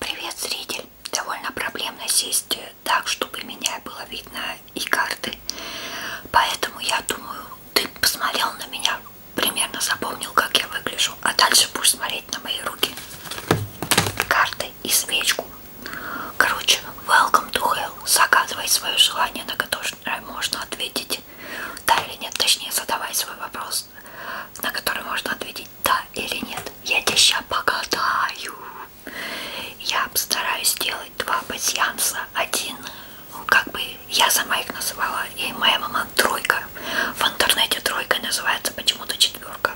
Привет, зритель! Довольно проблемно сесть э, так, чтобы меня было видно и карты. Поэтому я думаю, ты посмотрел на меня, примерно запомнил, как я выгляжу. А дальше будешь смотреть на мои руки, карты и свечку. Короче, welcome to hell. Загадывай свое желание, на которое можно ответить. Да или нет, точнее, задавай свой вопрос вопрос, на который можно ответить да или нет. Я тебя сейчас погадаю. Я постараюсь сделать два пассианса. Один, ну, как бы я сама их называла, и моя мама тройка. В интернете тройка называется почему-то четверка.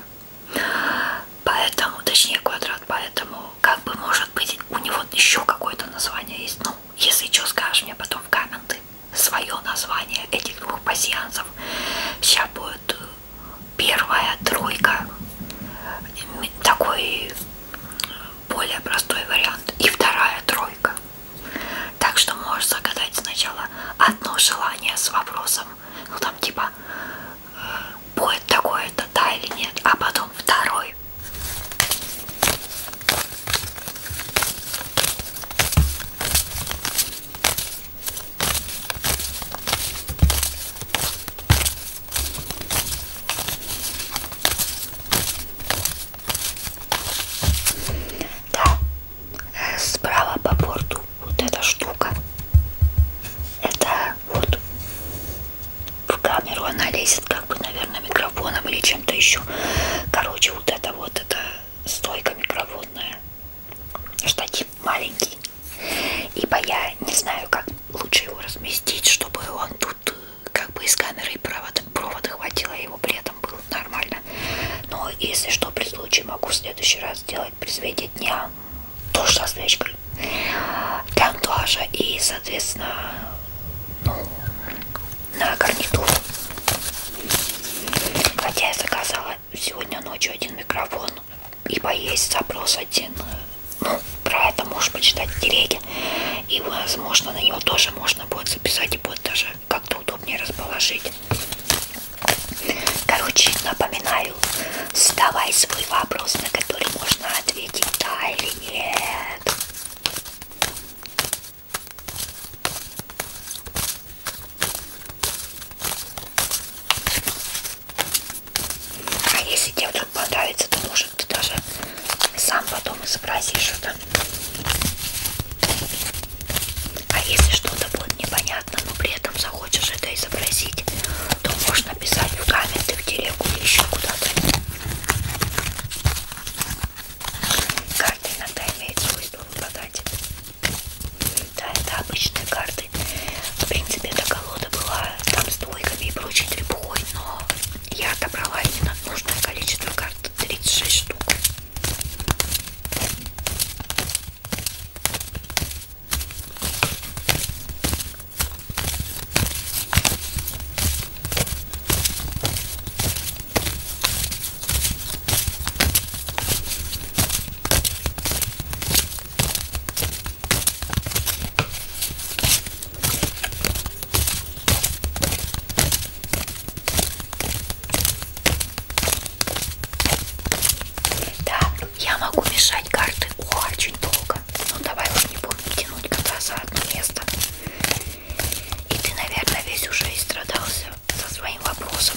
Поэтому, точнее квадрат, поэтому, как бы, может быть, у него еще какое-то название есть. Ну, если что, скажешь мне потом в комменты свое название этих двух пассианцев. Сейчас будет э, первая тройка такой более простой вариант и вторая тройка так что можешь загадать сначала одно желание с вопросом ну там типа э, будет такое-то да или нет а потом второй да, э, справа по борту вот эта штука. Это вот в камеру она лезет, как бы, наверное, микрофоном или чем-то еще. Короче, вот это вот, это стойка микрофонная. Штатив маленький. Ибо я не знаю, как лучше его разместить, чтобы он тут э, как бы из камеры и провода, провода хватило, его при этом было нормально. Но если что, при случае могу в следующий раз сделать при свете дня тоже со свечкой для антуажа и, соответственно, ну, на гарнитур. Хотя я заказала сегодня ночью один микрофон и поесть запрос один. Ну, про это можешь почитать в телеге. И, возможно, на него тоже можно будет записать и будет даже как-то удобнее расположить. Короче, напоминаю, задавай свой вопрос, на который можно ответить да или нет. А если тебе вдруг понравится, то может ты даже сам потом изобразишь это. А если что-то будет непонятно, но при этом захочешь это изобразить, то можно писать в комменты, в телегу или еще куда-то. Карта иногда имеет свойство выпадать да, это обычные карты. В принципе, эта колода была там с двойками и прочей трепухой, но я отобрала именно нужное количество карт, 36 штук. Да, я могу мешать карты очень долго. Ну давай вот не будем тянуть кота за одно место. И ты, наверное, весь уже истрадался со своим вопросом.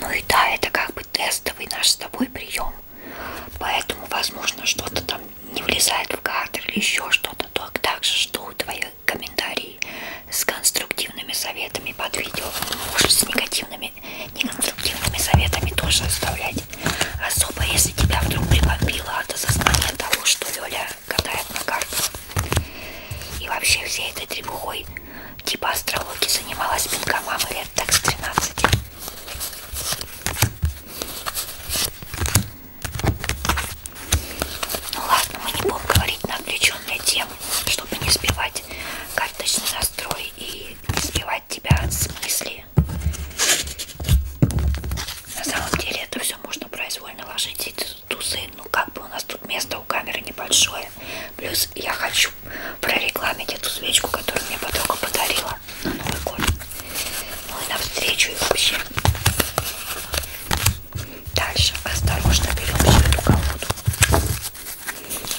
Ну и да, это как бы тестовый наш с тобой прием. Поэтому, возможно, что-то там не влезает в кадр или еще что-то, то также жду твои комментарии с конструктивными советами под видео. Может с негативными, неконструктивными советами тоже оставлять. Особо если тебя вдруг прибомбило от осознания того, что Лёля катает на картах. И вообще всей этой требухой типа астрологии занималась пинка мамы лет так с 13. Ну ладно, мы не будем говорить на отвлеченные темы, чтобы не сбивать карточный настрой и не сбивать тебя от смысли. На самом деле это все можно произвольно ложить эти тусы. Ну как бы у нас тут место у камеры небольшое. Плюс я хочу прорекламить эту свечку, которую мне подруга подарила подарка на Новый год. Ну и навстречу и вообще. Дальше осторожно берем всю эту колоду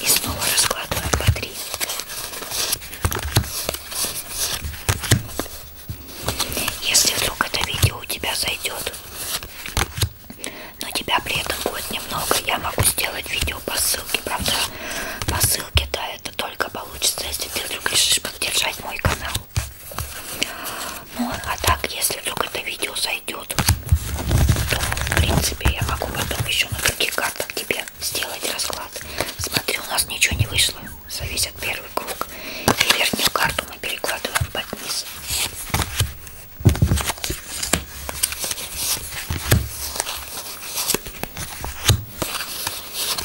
и снова раскладываем по три. Если вдруг это видео у тебя зайдет, но тебя при этом будет немного, я могу сделать видео по ссылке, правда, по ссылке, да, это только получится, если ты вдруг решишь поддержать мой канал. Ну, а так, если вдруг это видео зайдет, то, в принципе, я могу потом еще на других картах тебе сделать расклад. Смотри, у нас ничего не вышло. Зависит первый круг. И верхнюю карту мы перекладываем под низ.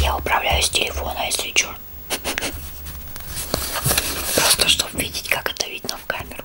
Я управляю с телефона, если что. Просто чтобы видеть, как это видно в камеру.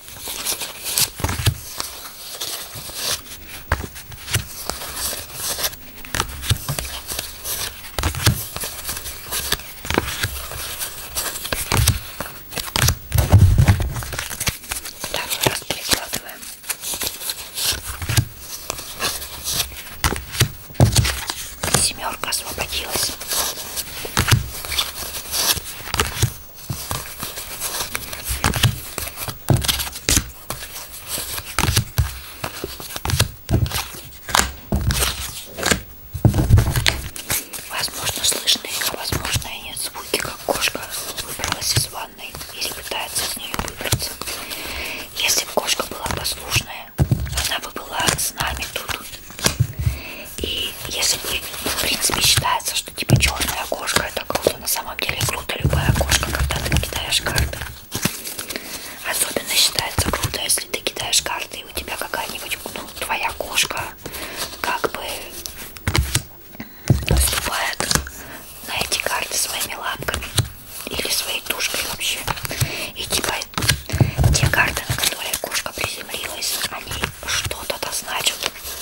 Второй раз перекладываем. Семерка освободилась. Возможно, слышны, а возможно и нет звуки, как кошка выбралась из ванной или пытается с нее выбраться. Если бы кошка была послушная, она бы была с нами тут. И если вы, в принципе, считается, что типа черная кошка это круто, на самом деле круто любая кошка, когда ты кидаешь карты. Особенно считается круто, если ты кидаешь карты и у тебя какая-нибудь, ну, твоя кошка как бы наступает на эти карты своими лапками или своей тушкой вообще. И типа те карты, на которые кошка приземлилась, они что-то значат.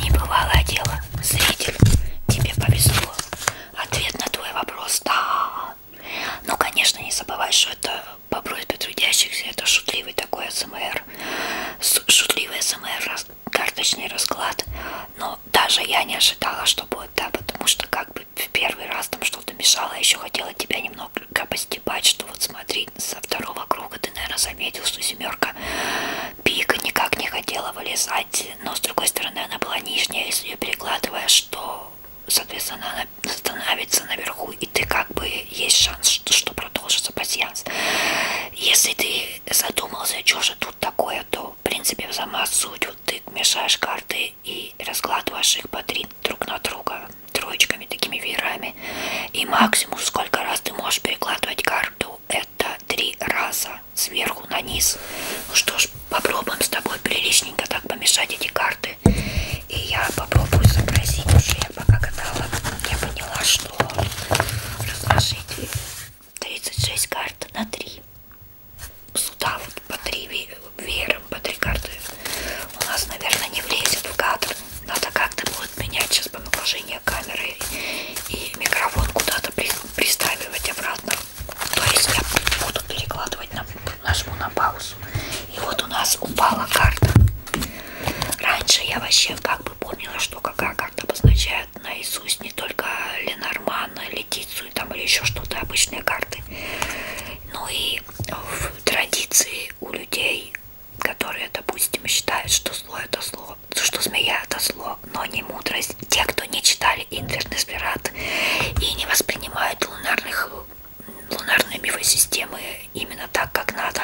Небывалое дело, зритель, тебе повезло. Ответ на твой вопрос да. Ну, конечно, не забывай, что это по просьбе трудящихся, это шутливый такой СМР, шутливый СМР, карточный расклад. Но даже я не ожидала, что будет, да, потому что как бы в первый раз там что-то мешало, я еще хотела тебя немного постебать, что вот смотри, со второго круга ты, наверное, заметил, что семерка пик никак не хотела вылезать, но с другой стороны она была нижняя, если ее перекладываешь, что соответственно, она становится наверху, и ты как бы есть шанс, что, что продолжится пассианс. Если ты задумался, «А что же тут такое, то, в принципе, сама суть, вот ты мешаешь карты и раскладываешь их по три друг на друга троечками, такими веерами. И максимум, сколько раз ты можешь перекладывать карту, это три раза сверху на низ. Ну что ж, попробуем с тобой приличненько так помешать эти карты. И я попробую сообразить, уже я пока катала, я поняла, что разложить 36 карт на 3. Сюда вот по 3 веером, по 3 карты у нас, наверное, не влезет в кадр. Надо как-то будет менять сейчас по наложению камеры и микрофон куда-то приставивать обратно. То есть я буду перекладывать, на, нажму на паузу. И вот у нас упала карта. Раньше я вообще как бы помнила, что какая карта обозначает наизусть не только Ленормана, Летицию там или еще что-то, обычные карты. Ну и в традиции у людей, которые, допустим, считают, что зло это зло, что змея это зло, но не мудрость. Те, кто не читали Инвернесбират, звезд и не воспринимают лунарных, лунарные мифосистемы именно так, как надо,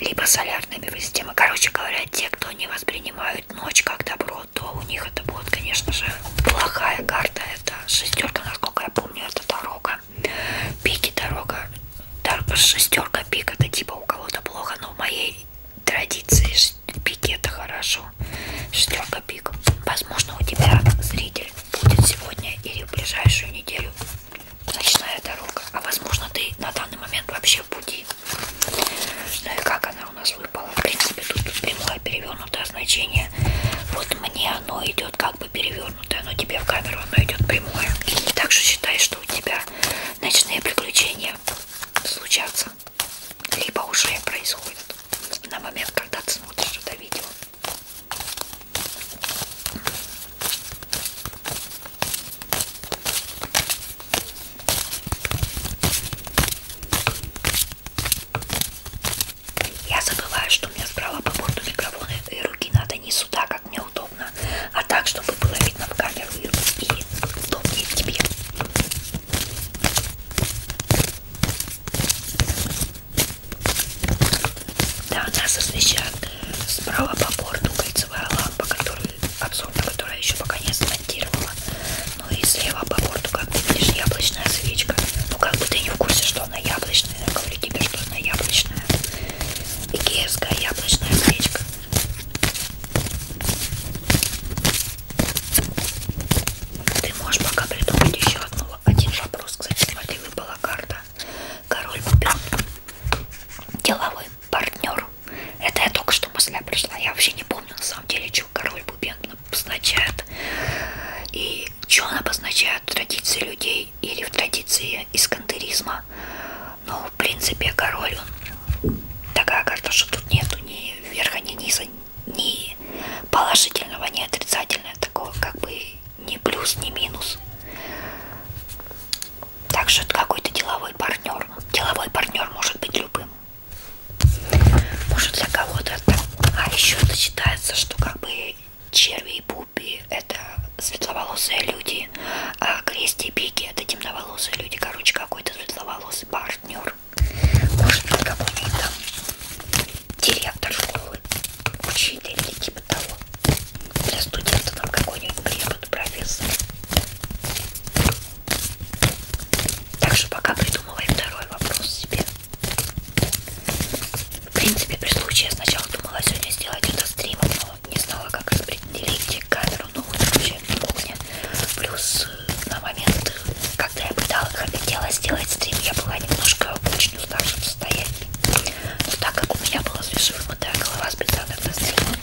либо солярные мифосистемы. Короче говоря, те, кто не воспринимают ночь как добро, то у них это будет, конечно же, плохая карта. Это шестерка, насколько я помню, это дорога. Пики дорога. Шестерка пик это типа у кого-то плохо, но в моей традиции пик это хорошо. Шестерка пик. Возможно, у тебя зритель будет сегодня или в ближайшую неделю ночная дорога. А возможно, ты на данный момент вообще в пути. Ну и как она у нас выпала? В принципе, тут прямое перевернутое значение. Вот мне оно идет как бы перевернутое, но тебе в камеру оно идет прямое. Так что считай, что у тебя ночные приключения случатся либо уже происходит на момент, когда ты смотришь это видео. Я забываю, что у меня справа по борту микрофона и руки надо не сюда, как мне удобно, а так, чтобы было видно в камеру и удобнее тебе. Да, нас освещает справа по борту кольцевая лампа, которую обзорно, которая еще пока не смонтировала. Ну и слева по борту, как ты видишь, яблочная свечка. Ну как бы ты не в курсе, что она яблочная. Я говорю тебе, что она яблочная. Икеевская яблочная свечка. Ты можешь пока придумать еще одну, один вопрос. Кстати, смотри, выпала карта. Король купил деловой партнер. Это я только что мысля пришла. Я вообще не помню на самом деле, что король бубен обозначает. И что он обозначает в традиции людей или в традиции искандеризма. Но ну, в принципе король, он такая карта, что тут нету ни верха, ни низа, ни положительного, ни отрицательного, такого как бы ни плюс, ни минус. Так что это какой-то деловой партнер. Деловой партнер может быть любым. Может для кого-то это... А еще это считается, что как бы черви и пупи это светловолосые люди, а крести и пики это темноволосые люди. Короче, какой-то светловолосый партнер партнер, может быть какой-нибудь там директор школы, учитель или типа того. Для студентов там какой-нибудь препод, профессор. Так что пока придумывай второй вопрос себе. В принципе, при случае я сначала думала сегодня сделать это стримом, но не знала, как распределить камеру, ну вот вообще кухня. Плюс на момент, когда я пыталась, хотела сделать стрим, я была немножко в очень уставшем состоянии. Но так как у меня была свежевымытая голова с бетона на стрима,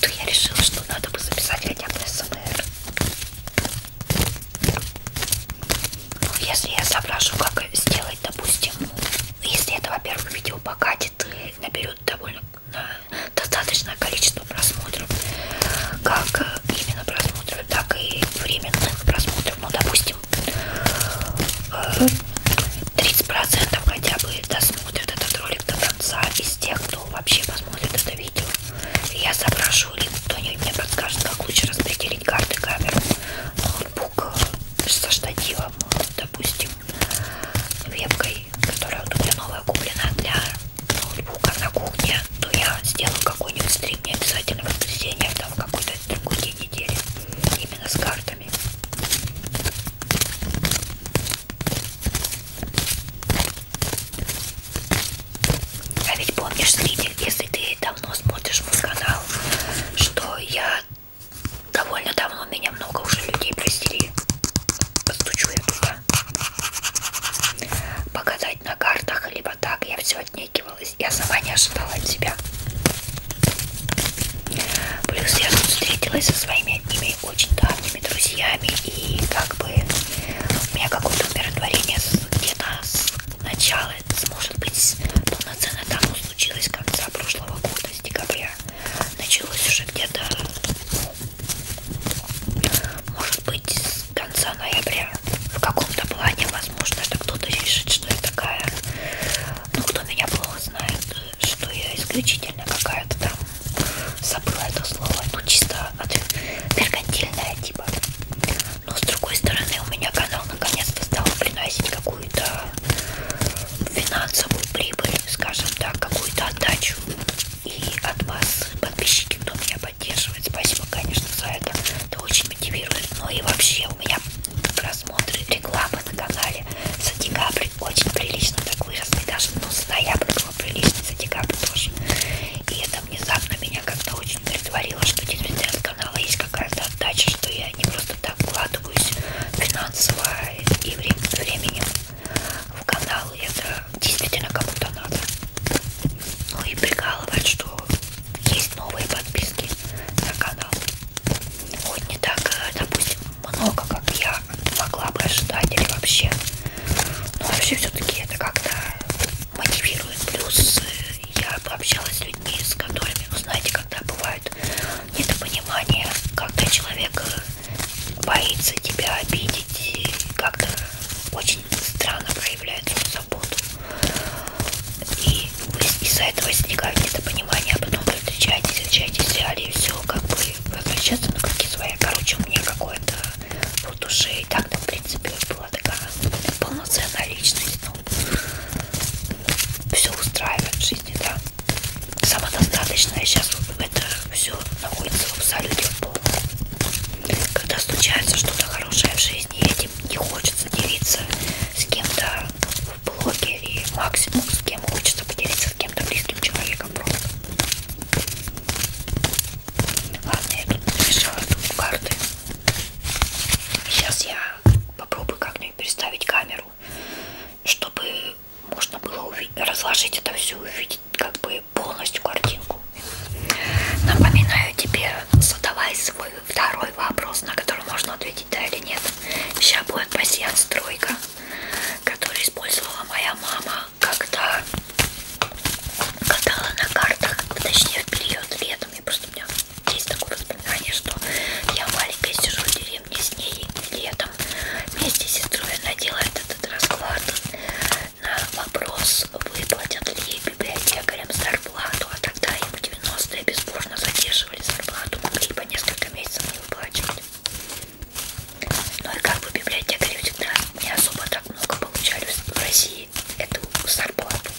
то я решила, что надо бы записать хотя бы СМР. Ну, если я соображу, как сделать, допустим, если это, во-первых, видео покатит и наберет довольно э, достаточное количество просмотров, как э, именно просмотров, так и временных просмотров, ну, допустим, 30% э, хотя бы досмотрят этот ролик до конца из тех, кто вообще посмотрит это видео. Я запрошу, или кто-нибудь мне подскажет, как лучше распределить карты камер, ноутбук э, со штативом, допустим, вебкой, которая вот у меня новая куплена для ноутбука на кухне, то я сделаю какой-нибудь стрим, не обязательно воскресенье, а там какой-то другой день недели, именно с картами. А ведь помнишь, зритель, если ты давно смотришь мой канал, что я довольно давно, меня много уже людей простили. Постучу я туда. Пока да, читать на картах, либо так, я все отнекивалась. Я сама не ожидала от себя. Плюс я тут встретилась со своими одними очень давними друзьями, и как бы у меня какое-то умиротворение где-то с начала, может быть, полноценно тому случилось конца прошлого года, с декабря. Началось уже где-то, ну, может быть, конца ноября. В каком-то плане, возможно, что кто-то решит, что я такая. Ну, кто меня плохо знает, что я исключительно какая-то там забыла это слово. Ну, чисто от меркантильная типа. Но с другой стороны, у меня канал наконец-то стал приносить какую-то финансовую прибыль, скажем так, какую-то отдачу. И от вас, подписчики, кто меня поддерживает. Спасибо, конечно, за это. Это очень мотивирует. Ну и вообще у меня просмотры рекламы на канале за декабрь очень прилично так выросли. Даже ну, с ноября было прилично, за декабрь тоже. И это внезапно меня как-то очень удовлетворило, что действительно от канала есть какая-то отдача, что я не просто так вкладываюсь финансово и временем в канал. И это действительно кому-то надо. Ну и прикалывать, что есть новые подписки на канал. Хоть не так, э, допустим, много, как я могла бы ожидать или вообще. Но ну, а вообще все-таки это как-то мотивирует. Плюс э, я пообщалась с людьми, с которыми, ну, знаете, когда бывает недопонимание, когда человек э, боится тебя обидеть, как-то очень очень странно проявляет свою заботу. И из-за этого возникает недопонимание, а потом вы встречаетесь, встречаетесь в реале, и все, как бы возвращаться на круги свои. Короче, у меня какое-то в душе и так-то, в принципе, была такая полноценная личность, ну, все устраивает в жизни, да. Самодостаточная сейчас вот это все находится в абсолюте в полном когда случается что-то хорошее в жизни, этим не хочется делиться с кем-то в блоге и максимум с кем хочется поделиться с кем-то близким человеком просто. Ладно, я тут намешала тут карты. Сейчас я попробую как-нибудь переставить камеру, чтобы можно было разложить это все и увидеть как бы полностью картинку. Напоминаю тебе, задавай свой второй вопрос, на который можно ответить да или нет. Сейчас будет пассианс тройка, который использовала моя мама, когда катала на картах, точнее в период летом. Я просто у меня есть такое воспоминание, что я маленькая сижу в деревне с ней летом. Вместе с сестрой она делает этот расклад на вопрос, выплатят ли библиотекарям зарплату, а тогда им в 90-е бесспорно задерживали зарплату, могли по несколько месяцев не выплачивать. Ну и как бы библиотекари всегда не особо так много получали в России эту зарплату.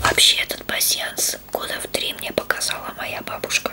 Вообще этот пассианс раз года в три мне показала моя бабушка.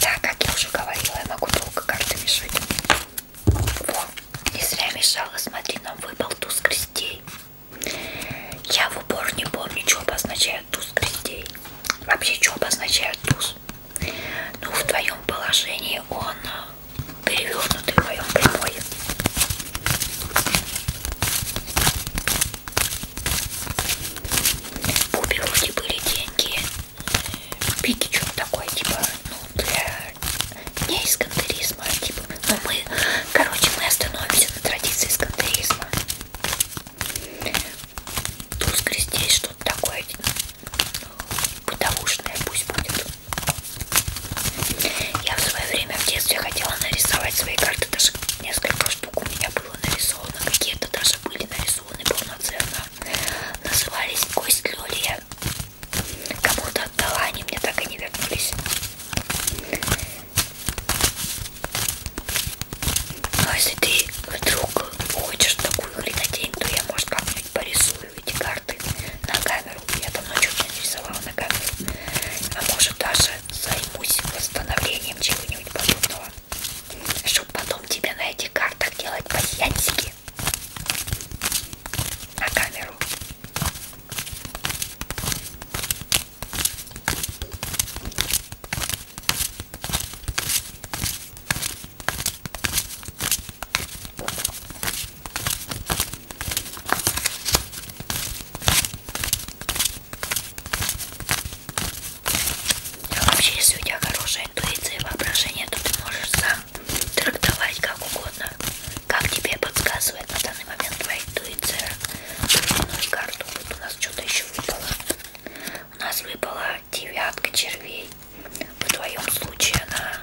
Да, как я уже говорила, я могу долго карты мешать. Во, не зря мешала, смотри, нам выпал туз крестей. Я в упор не помню, что обозначает туз крестей. Вообще, что обозначает туз? Ну, в твоем положении он э, перевернутый в моем прямой. Бобби вроде были деньги. Пики что такой, типа, ну, для не эскандеризма, типа, ну мы, короче, мы остановимся на традиции эскандеризма. Тускри здесь что-то такое типа, бытовушное пусть будет. Я в свое время в детстве хотела нарисовать свои карты, даже несколько штук у меня было нарисовано, какие-то даже были нарисованы фасоны полноценно. Назывались кость люлья. Кому-то отдала, они мне так и не вернулись. Но ну, а если ты вдруг хочешь такую хренотень, то я, может, как-нибудь порисую эти карты на камеру. Я давно что-то нарисовала на камеру. А может, даже займусь восстановлением чего-нибудь подобного. Что чтобы потом тебе на этих картах делать пасьянсики на камеру. А вообще, если у тебя хорошая интуиция и воображение, то ты можешь сам трактовать как угодно, как тебе подсказывает на данный момент твоя интуиция. Ну и карту, вот у нас что-то еще выпало. У нас выпала девятка червей. В твоем случае она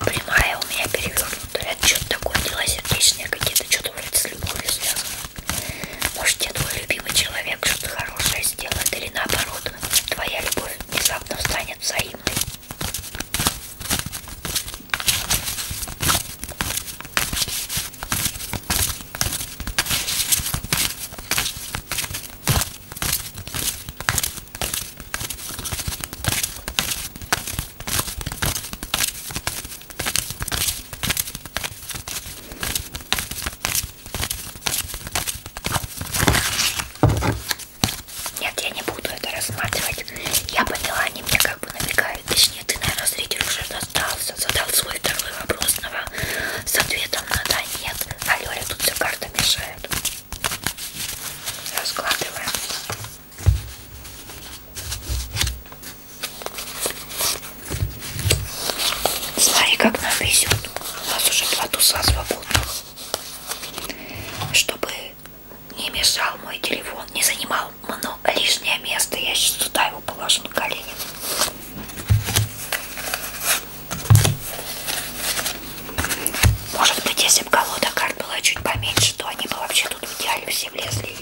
прямая, у меня перевернутая. Это что-то такое, дела сердечные какие-то, что-то вроде с любовью связано. Может, тебе твой любимый человек что-то хорошее сделает, или наоборот, твоя любовь внезапно станет взаимной. Нет, я не буду это рассматривать. Я поняла, они мне как бы намекают. Точнее, ты, наверное, зритель уже достался. Задал свой второй вопрос на, с ответом на да, нет. А Лёля тут все карта мешает. Раскладываем. Смотри, как нам везет. У нас уже два туса свободных. Чтобы не мешал мой телефон, не занимал много лишнее место. Я сейчас туда его положу на колени. Может быть, если бы колода карт была чуть поменьше, то они бы вообще тут в идеале все влезли.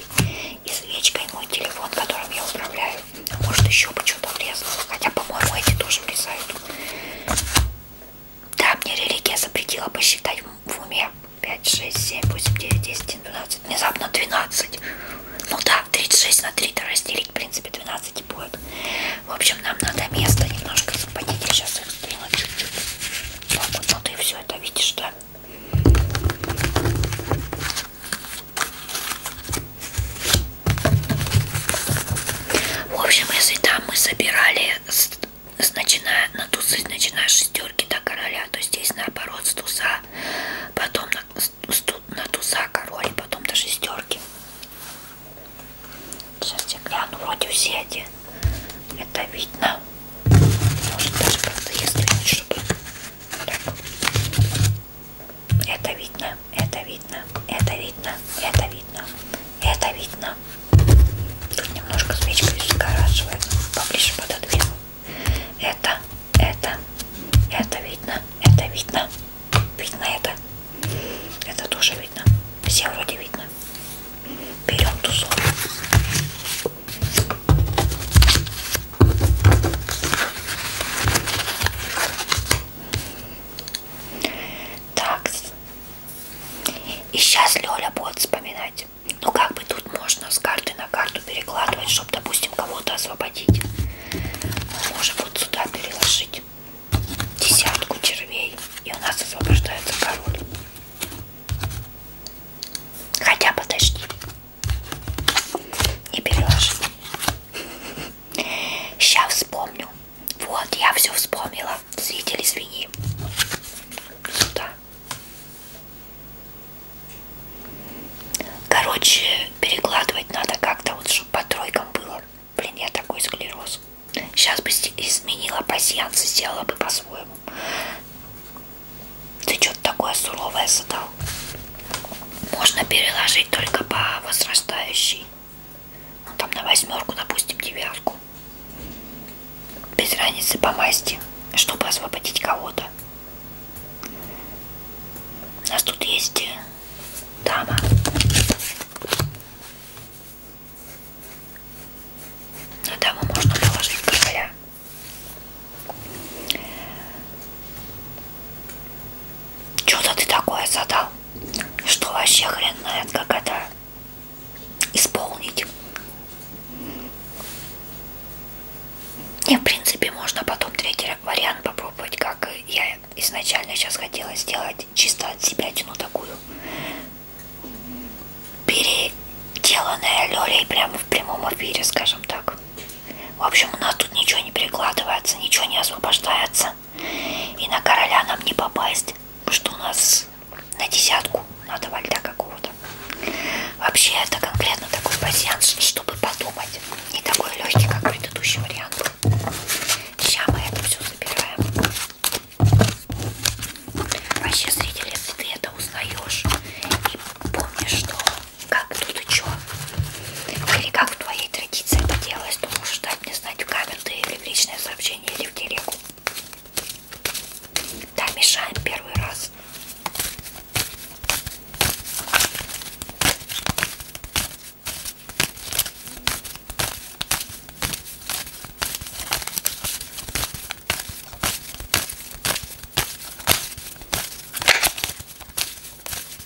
И свечкой мой телефон, которым я управляю. А может еще бы что-то влезло. Хотя, по-моему, эти тоже влезают. Да, мне религия запретила посчитать в уме. 5, 6, 7, 8, 9, 10, 12. Внезапно 12. Ну да, 36 на 3 то разделить, в принципе, 12 и будет. В общем, нам надо место немножко западить. Я сейчас их сдвину чуть-чуть. Так ну, вот, ну, ну ты все это видишь, да? В общем, если там мы собирали, с, с начиная на тусы, начиная с шестерки до короля, то здесь наоборот с туса, потом на, с, на туса король, потом до шестерки. Сейчас я гляну, вроде все эти. Это видно. Может даже как-то если чтобы так. Это видно, это видно, это видно, это видно, это видно. Тут немножко свечка сгорашивает, поближе пододвину. Это, это, это видно, это видно, видно это. Это тоже видно. Все вроде видно. Берем тусу. Так. И сейчас Лёля будет вспоминать. Ну как бы тут можно с карты на карту перекладывать, чтобы, допустим, кого-то освободить. Мы можем вот сюда переложить десятку червей. И у нас освобождается король. Хотя подожди. Не переложи. Сейчас вспомню. Вот, я все вспомнила. Зритель, извини. Сюда. Короче, перекладывать надо как-то, вот, чтобы по тройкам было. Блин, я такой склероз. Сейчас бы изменила пассианс и сделала бы по-своему. Ты что-то такое суровое задал можно переложить только по возрастающей. Ну, там на восьмерку, допустим, девятку. Без разницы по масти, чтобы освободить кого-то. У нас тут есть э, дама. На даму можно положить короля. Что-то ты такое задал, что вообще хрен знает, как это исполнить. Не, в принципе, можно потом третий вариант попробовать, как я изначально сейчас хотела сделать, чисто от себя тяну такую переделанная лёлей прямо в прямом эфире, скажем так. В общем, у нас тут ничего не перекладывается, ничего не освобождается. И на короля нам не попасть, что у нас на десятку надо вальда какого-то. Вообще это конкретно такой пассианс, чтобы подумать. Не такой легкий, как предыдущий вариант. Сейчас мы это все забираем. Вообще, зрители, если ты это узнаешь и помнишь, что как тут и что, или как в твоей традиции это делалось, то можешь дать мне знать в комменты или в личное сообщение, или в телегу. Да, мешаем первый раз.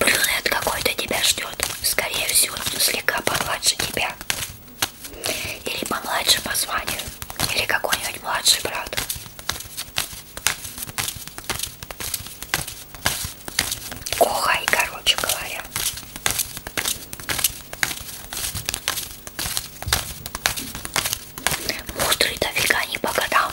Брюнет какой-то тебя ждет. Скорее всего, слегка помладше тебя. Или помладше по званию. Или какой-нибудь младший брат. Кохай, короче говоря. Мудрый дофига не по годам.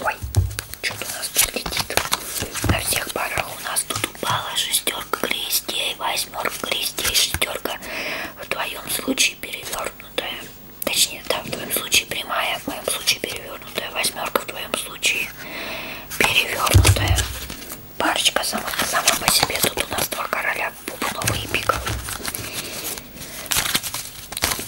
Ой, что-то у нас тут летит. На всех парах у нас тут упала шестерка крестей, восьмерка крестей, шестерка. В твоем случае перевернутая. Точнее, да, в твоем случае прямая, в моем случае перевернутая. Восьмерка в твоем случае перевернутая парочка сама, сама по себе. Тут у нас два короля, бубновый и пиковый.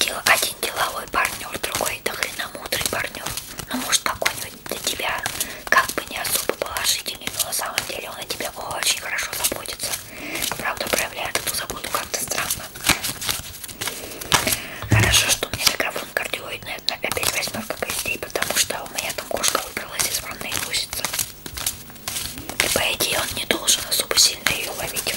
Дел, один деловой партнер, другой да хрена мудрый партнер. Ну, может, какой-нибудь для тебя как бы не особо положительный, но на самом деле он о тебе очень хорошо заботится. Правда, проявляет эту заботу как-то странно. Хорошо, что у меня микрофон кардиоидный, опять восьмерка костей потому что у меня там кошка выбралась из ванной и лосится. И по идее он не должен особо сильно ее ловить.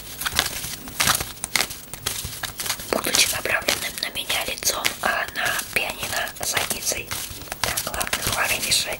Будучи направленным на меня лицом, а на пианино задницей. Так, ладно, хватит мешать.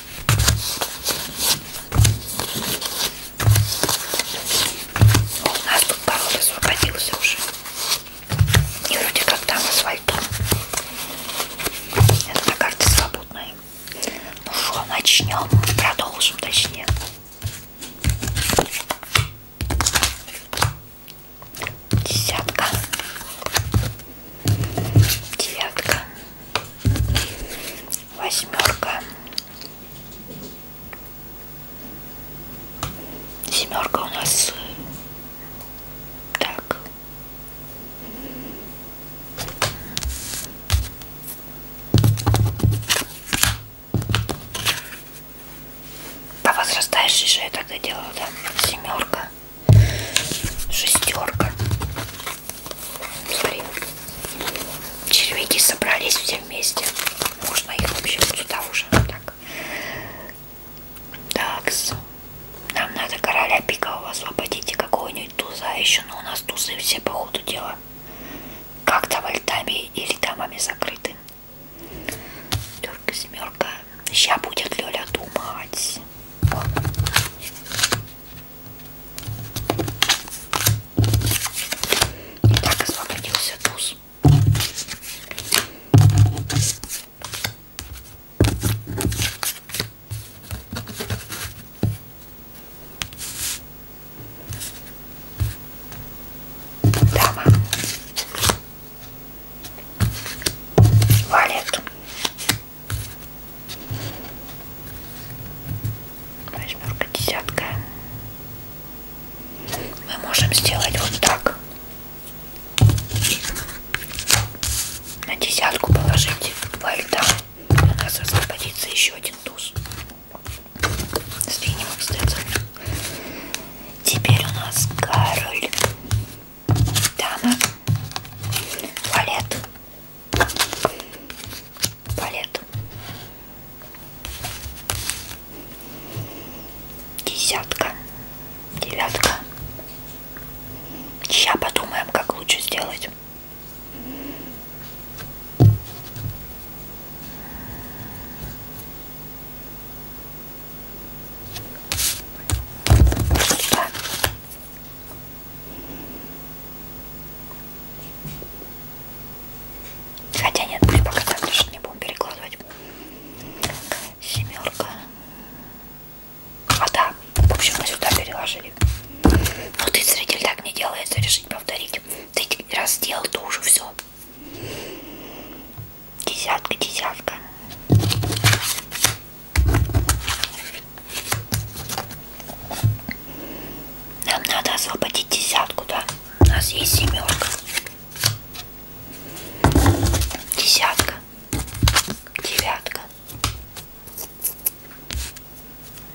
У нас тут порог освободился уже. И вроде как там асфальтом. Это на карте свободная. Ну что, начнем. Продолжим, точнее. Десятка. Девятка. Восьмерка. Семерка у нас так. По возрастающей же я тогда делала, да? Семерка. Шестерка. Смотри. Червяки собрались все вместе. Можно их вообще вот сюда уже. Так. Такс. Нам надо короля пикового освободить и какого-нибудь туза еще. Но у нас тузы все по ходу дела. Как-то вольтами или дамами закрыты. Терка, семерка. Сейчас будет Лёля думать. О. И так освободился туз. Дама валит Восьмерка, десятка. Мы можем сделать вот так. На десятку положить два льда. У нас освободится еще один туз. Сдвинем обстоятельно. Теперь у нас король. Дана. Палет. Палет. Десятка. Девятка. Сейчас подумаем, как лучше сделать. Хотя нет, пусть пока так лежит, не будем перекладывать. Семерка. А да, в общем, мы сюда переложили. Но ты зритель так не делается, решить повторить. Ты раз делал, то уже все. Десятка, десятка. Нам надо освободить десятку, да? У нас есть семерка. Десятка. Девятка.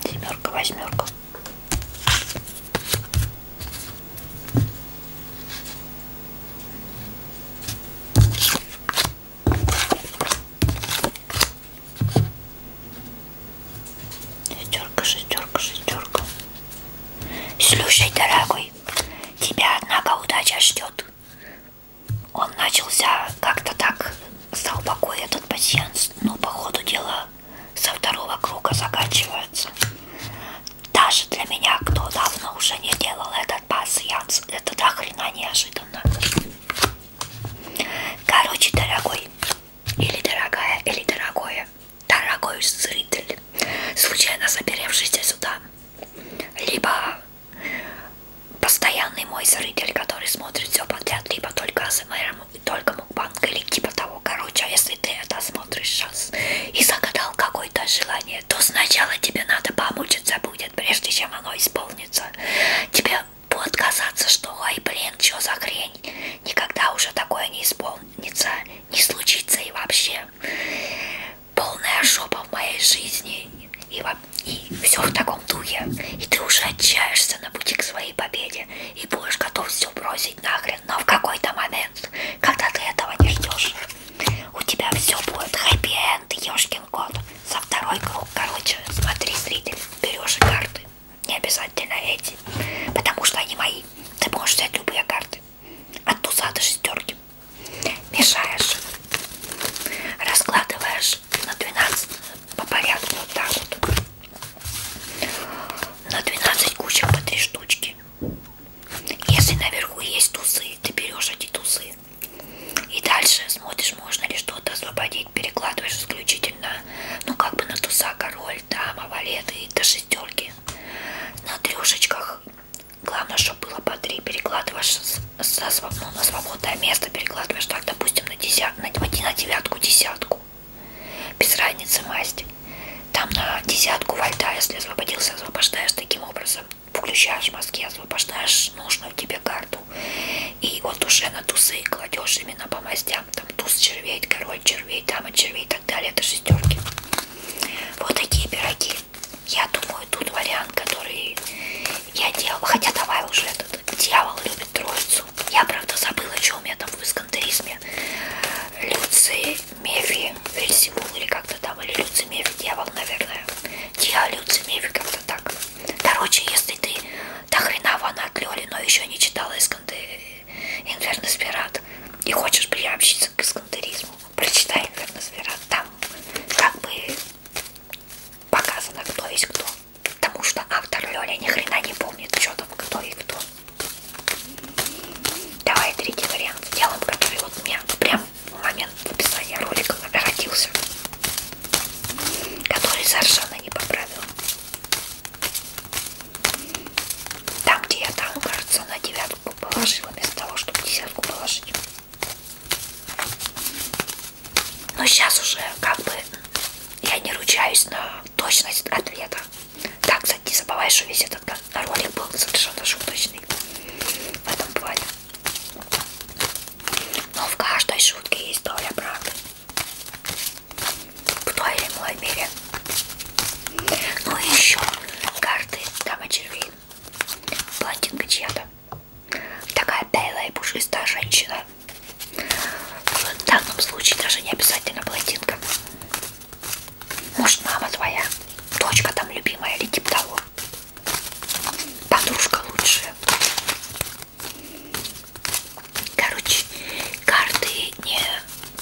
Семерка, восьмерка. Шестерка, шестерка, шестерка. Слушай, дорогой, тебя, однако, удача ждет. Он начался как-то так, стал покой этот пациент, но по ходу дела со второго круга заканчивается. Даже для меня, кто давно уже не делал этот пассианс, это до хрена неожиданно. Короче, дорогой или дорогая, или дорогое, дорогой зритель, случайно заберевшийся сюда, либо постоянный мой зритель, который смотрит все подряд, либо только АСМР, только мукбанк, или типа того. Короче, а если ты это смотришь сейчас и загадал какое-то желание, то сначала тебе надо помучиться будет, прежде чем оно исполнится. Тебе будет казаться, что ой, блин, что за хрень, никогда уже такое не исполнится, не случится и вообще полная жопа в моей жизни и, и все в таком духе. И ты уже отчаешься на пути к своей победе и будешь готов все бросить нахрен, но в какой-то момент, когда ты этого не ждешь, у тебя все будет хэппи-энд, ешкин один год за второй круг. Короче, смотри, зритель, берешь карты. Не обязательно эти, потому что они мои. Ты можешь взять любые карты. От туза до шестерки. Мешаешь. Раскладываешь на 12 по порядку. Вот так вот. На 12 кучек по 3 штучки. Если наверху есть тузы, ты берешь эти тузы. И дальше смотришь, можно ли что-то освободить, перекладываешь исключительно, ну как бы на туса, король, дама, валет и до шестерки. На трешечках, главное, чтобы было по три, перекладываешь со, со, ну, на свободное место, перекладываешь так, допустим, на, десят, на, на девятку, десятку. Без разницы масть. Там на десятку вольта, если освободился, освобождаешь таким образом. Включаешь мозги, освобождаешь нужную тебе карту. И вот уже на тусы кладешь именно по мастям. Там туз червей, король червей, дама червей и так далее. Это шестерки. Вот такие пироги. Я думаю, тут вариант, который я делала. Хотя давай уже этот дьявол любит троицу. Я, правда, забыла, что у меня там в эскантеризме. Люци, Мефи, Вельсибул или как-то там. Или Люци, Мефи, дьявол, наверное. Диа, Люци, Мефи, как-то так. Короче, если ты до хрена фанат Лёли, но еще не читала Исканды Инфернес Пират и хочешь приобщиться к искандеризму, прочитай Инфернес Пират. Там как бы показано, кто есть кто. Потому что автор Лёля ни хрена не помнит, что там кто и кто. Давай третий вариант сделаем, который вот у меня прям в момент описания ролика родился который совершенно не поправил. Там, где я там, кажется, на девятку положила, вместо того, чтобы десятку положить. Но сейчас уже как бы я не ручаюсь на точность ответа. Так, кстати, не забывай, что весь этот ролик был совершенно шуточный в этом плане. Но в каждой шутке есть доля правды. В той или иной мере. Ну и еще карты дама червей. Блондинка чья-то. Такая белая и пушистая женщина. В данном случае даже не обязательно блондинка. Может, мама твоя, дочка там любимая или типа того. Подружка лучшая. Короче, карты не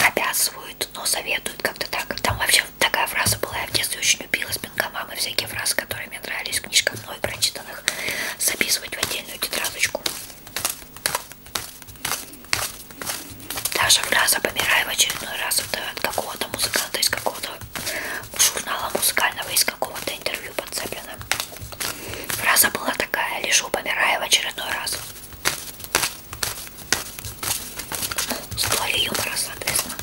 обязывают, но советуют как-то так. Там вообще такая фраза была, я в детстве очень любила с пингомам и всякие фразы, которые мне нравились в книжках мной прочитанных, записывать в отдельную тетрадочку. Даже фраза «Помирай в очередной раз» это от какого-то музыканта, из какого-то журнала музыкального, из какого-то интервью подцеплена. Фраза была такая, лежу, помираю в очередной раз. Ну, с долей юмора, соответственно.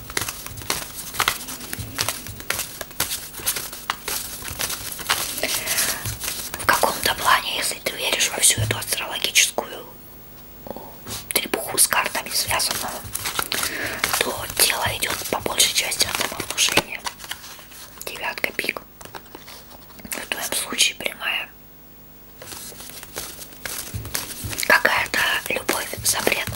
В каком-то плане, если ты веришь во всю эту астрологическую трепуху с картами связанную, то тело идет по большей части от самовнушения. Девятка пик. Ну, в твоем случае прямая. Какая-то любовь запретная.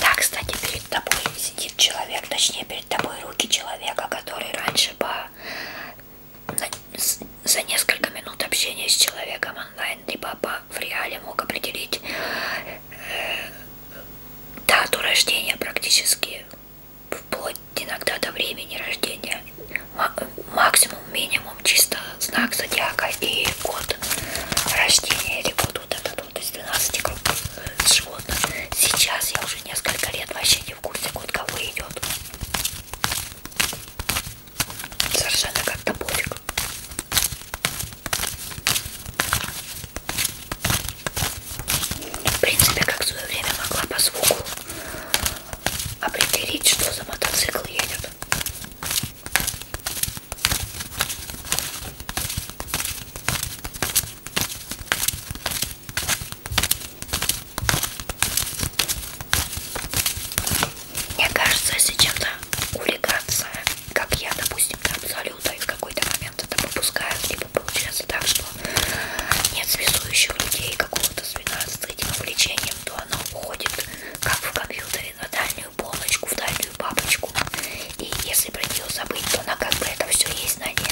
Да, кстати, перед тобой сидит человек, точнее перед тобой руки человека, который раньше по за несколько минут общения с человеком онлайн либо по, в реале мог определить э, дату рождения практически вплоть иногда до времени рождения максимум минимум чисто знак зодиака и год рождения или год вот этот вот из 12 кругов с животных. Сейчас я уже несколько лет вообще не в курсе, кот кого идет. Совершенно как-то пофиг. В принципе, как в свое время могла по звуку определить, что за мотоцикл едет. Мне кажется, если чем-то увлекаться, как я, допустим, до абсолюта, и в какой-то момент это попускают, либо получается так, что нет связующих людей какого-то свина с этим увлечением, то оно уходит, как в компьютере, на дальнюю полочку, в дальнюю папочку. И если про нее забыть, то она как бы это все есть на ней.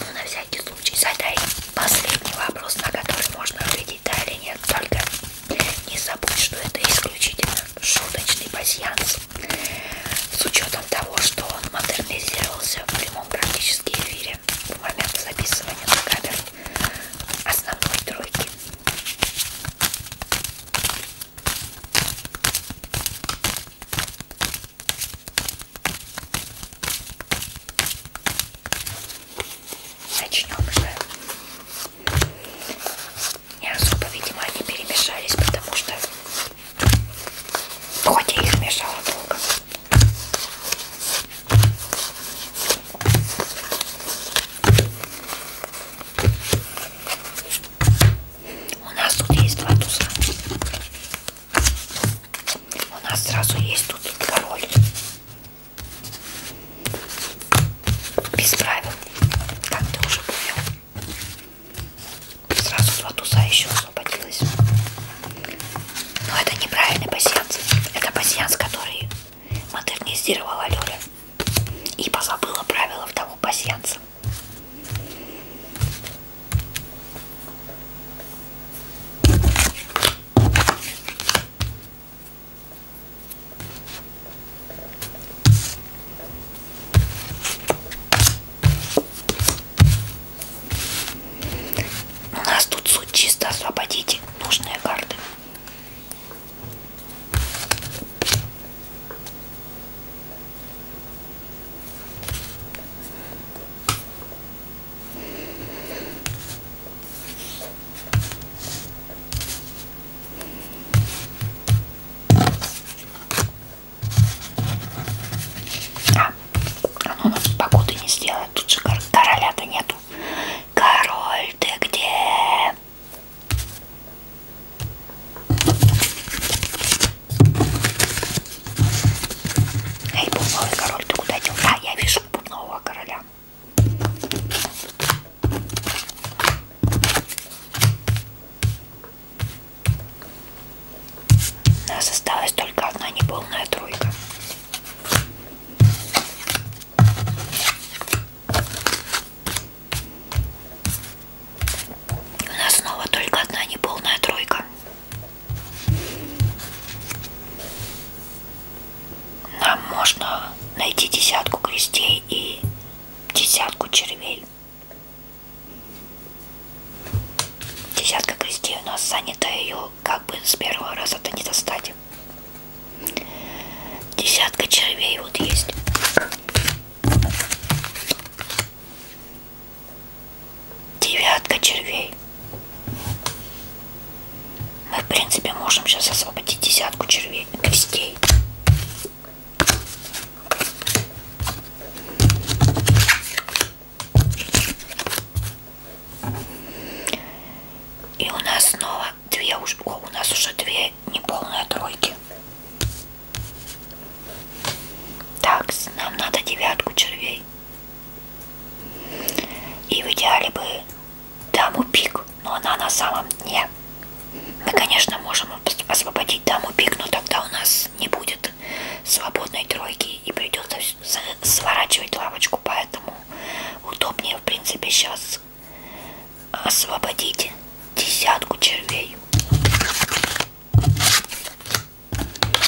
Ну, на всякий случай задай последний вопрос, на который можно ответить да или нет. Только не забудь, что это исключительно шуточный пассианс. С учетом того, что он модернизировался в прямом практически эфире в момент записывания на камеру основной тройки. Начнем же. Не особо, видимо, они перемешались, потому что хоть я их мешала долго. У нас тут есть два туса. У нас сразу есть тут король. Без правил. Как ты уже понял. Сразу два туса еще освободилась. Но это неправильный пассианс. Это пассианс, который модернизировала Лёля. И позабыла правила того пассианса. У нас тут суть чисто освободить нужные карты. А, ну, оно нас погоды не сделает, тут же короля-то нету. Король, ты где? Эй, бубновый король, ты куда дел? Да, я вижу бубнового короля. У нас осталась только одна неполная тройка. У нас снова только одна неполная тройка. Нам можно найти десятку крестей и десятку червей. Десятка крестей у нас занята, ее как бы с первого раза-то не достать. Десятка червей вот есть. Девятка червей. Мы, в принципе, можем сейчас освободить десятку червей, крестей. И у нас снова две уже, о, у нас уже две неполные тройки. Так, нам надо девятку червей. И в идеале бы даму пик, но она на самом дне. Мы, конечно, можем освободить даму пик, но тогда у нас не будет свободной тройки и придется сворачивать лавочку, поэтому удобнее, в принципе, сейчас освободить десятку червей.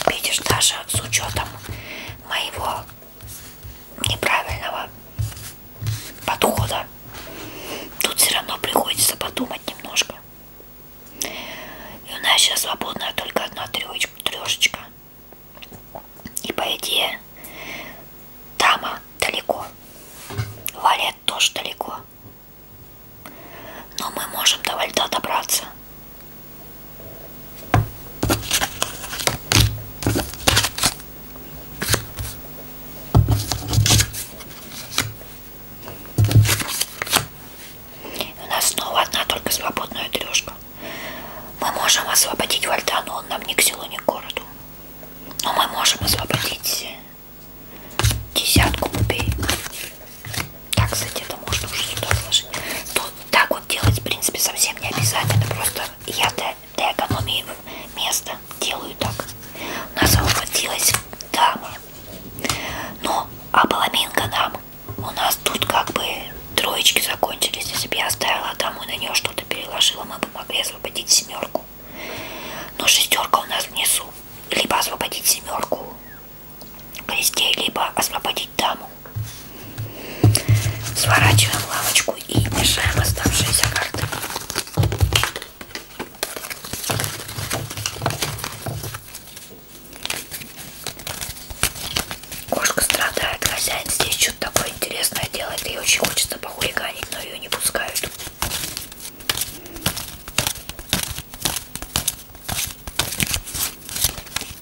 Видишь, даже с учетом моего неправильного подхода, тут все равно приходится подумать немножко. И у нас сейчас свободная только одна трешечка. И по идее, дама далеко, валет тоже далеко. Но мы можем до вальта добраться. У нас снова одна только свободная трешка. Мы можем освободить Вальта, но он нам ни к селу, ни к городу. Но мы можем освободить десятку купей. Так, кстати, это можно уже сюда сложить. Тут ну, так вот делать, в принципе, совсем не обязательно. Просто я для, для экономии места делаю так. Нас ухватилась дама. Но ну, оболоминка а нам. У нас тут как бы троечки закончились. Если бы я оставила даму и на нее что-то переложила, мы бы могли освободить семерку. Но шестерка у нас внизу. Либо освободить семерку везде, либо освободить даму. Сворачиваем лавочку и мешаем оставшиеся карты. Кошка страдает, хозяин здесь что-то такое интересное делает. Ей очень хочется похулиганить, но ее не пускают.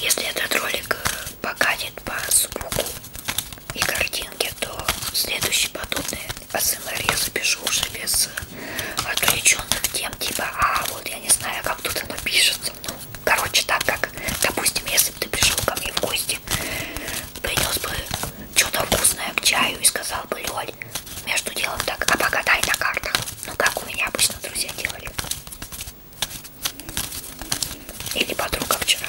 Если этот ролик э, покатит по звуку и картинке, то следующий подобный АСМР я запишу уже без э, отвлеченных тем, типа, а вот я не знаю, как тут оно пишется. Ну, короче, так как, допустим, если бы ты пришел ко мне в гости, принес бы что-то вкусное к чаю и сказал бы, Лёль, между делом так, а погадай на картах. Ну, как у меня обычно друзья делали. Или подруга вчера.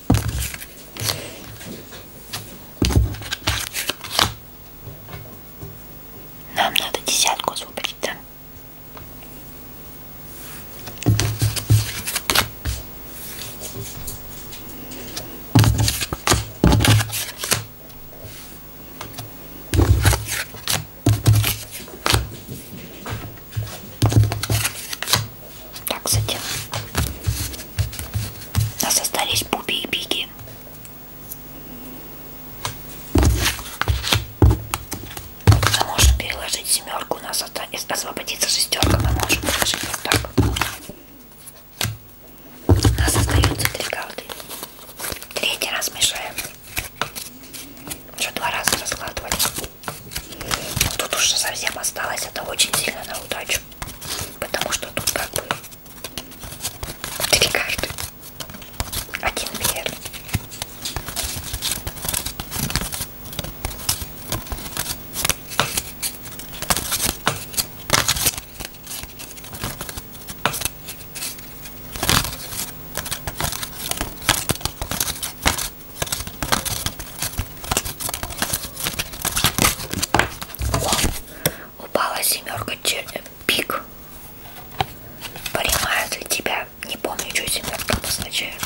Нам надо десятку освободить, да? Так, затем у нас остались Буби и Биги. Мы можем переложить семерку, у нас освободится шестерка, мы можем переложить вот так. У нас остаются три карты. Третий раз мешаем. Уже два раза раскладывали. Но тут уже совсем осталось это очень сильно на удачу. Потому что тут как бы три карты. Один мир. О, упала семерка э, пик. Понимают ли тебя? Не помню, что семерка обозначает.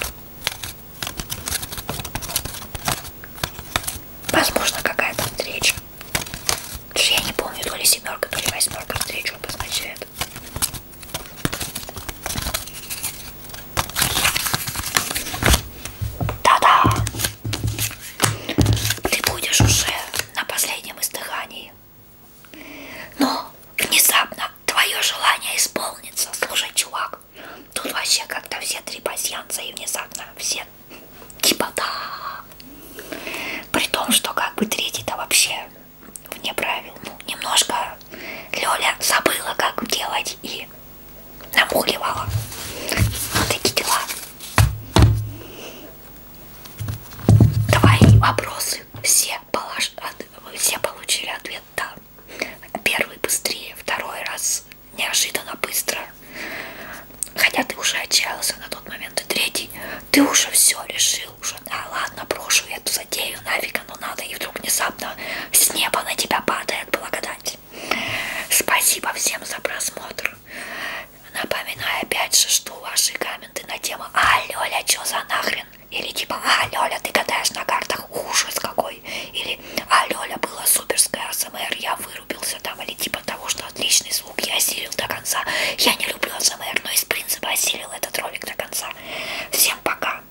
Возможно, какая-то встреча. Потому что я не помню, то ли семерка, то ли восьмерка встречу обозначает. Та-да! Ты будешь уже на последнем издыхании. Но внезапно твое желание исполнится. Слушай, чувак, тут вообще как-то все три пассианца и внезапно все типа да. При том, что как бы третий-то вообще вне правил. Ну, немножко Лёля забыла, как делать, и намуливала. Вот такие дела. Давай вопросы. Все, полож... Все получили ответ, да. Первый быстрее, второй раз неожиданно быстро. Хотя ты уже отчаялся на тот момент. И третий, ты уже все решил. уже Да ладно, брошу эту затею, нафиг оно надо. И вдруг внезапно с неба на тебя падает благодать делать. Спасибо всем за просмотр. Напоминаю опять же, что ваши комменты на тему «А, Лёля, чё за нахрен?» Или типа «А, Лёля, ты гадаешь на картах? Ужас какой!» Или «А, Лёля, было суперское АСМР, я вырубился там» Или типа того, что отличный звук, я осилил до конца Я не люблю АСМР, но из принципа осилил этот ролик до конца Всем пока!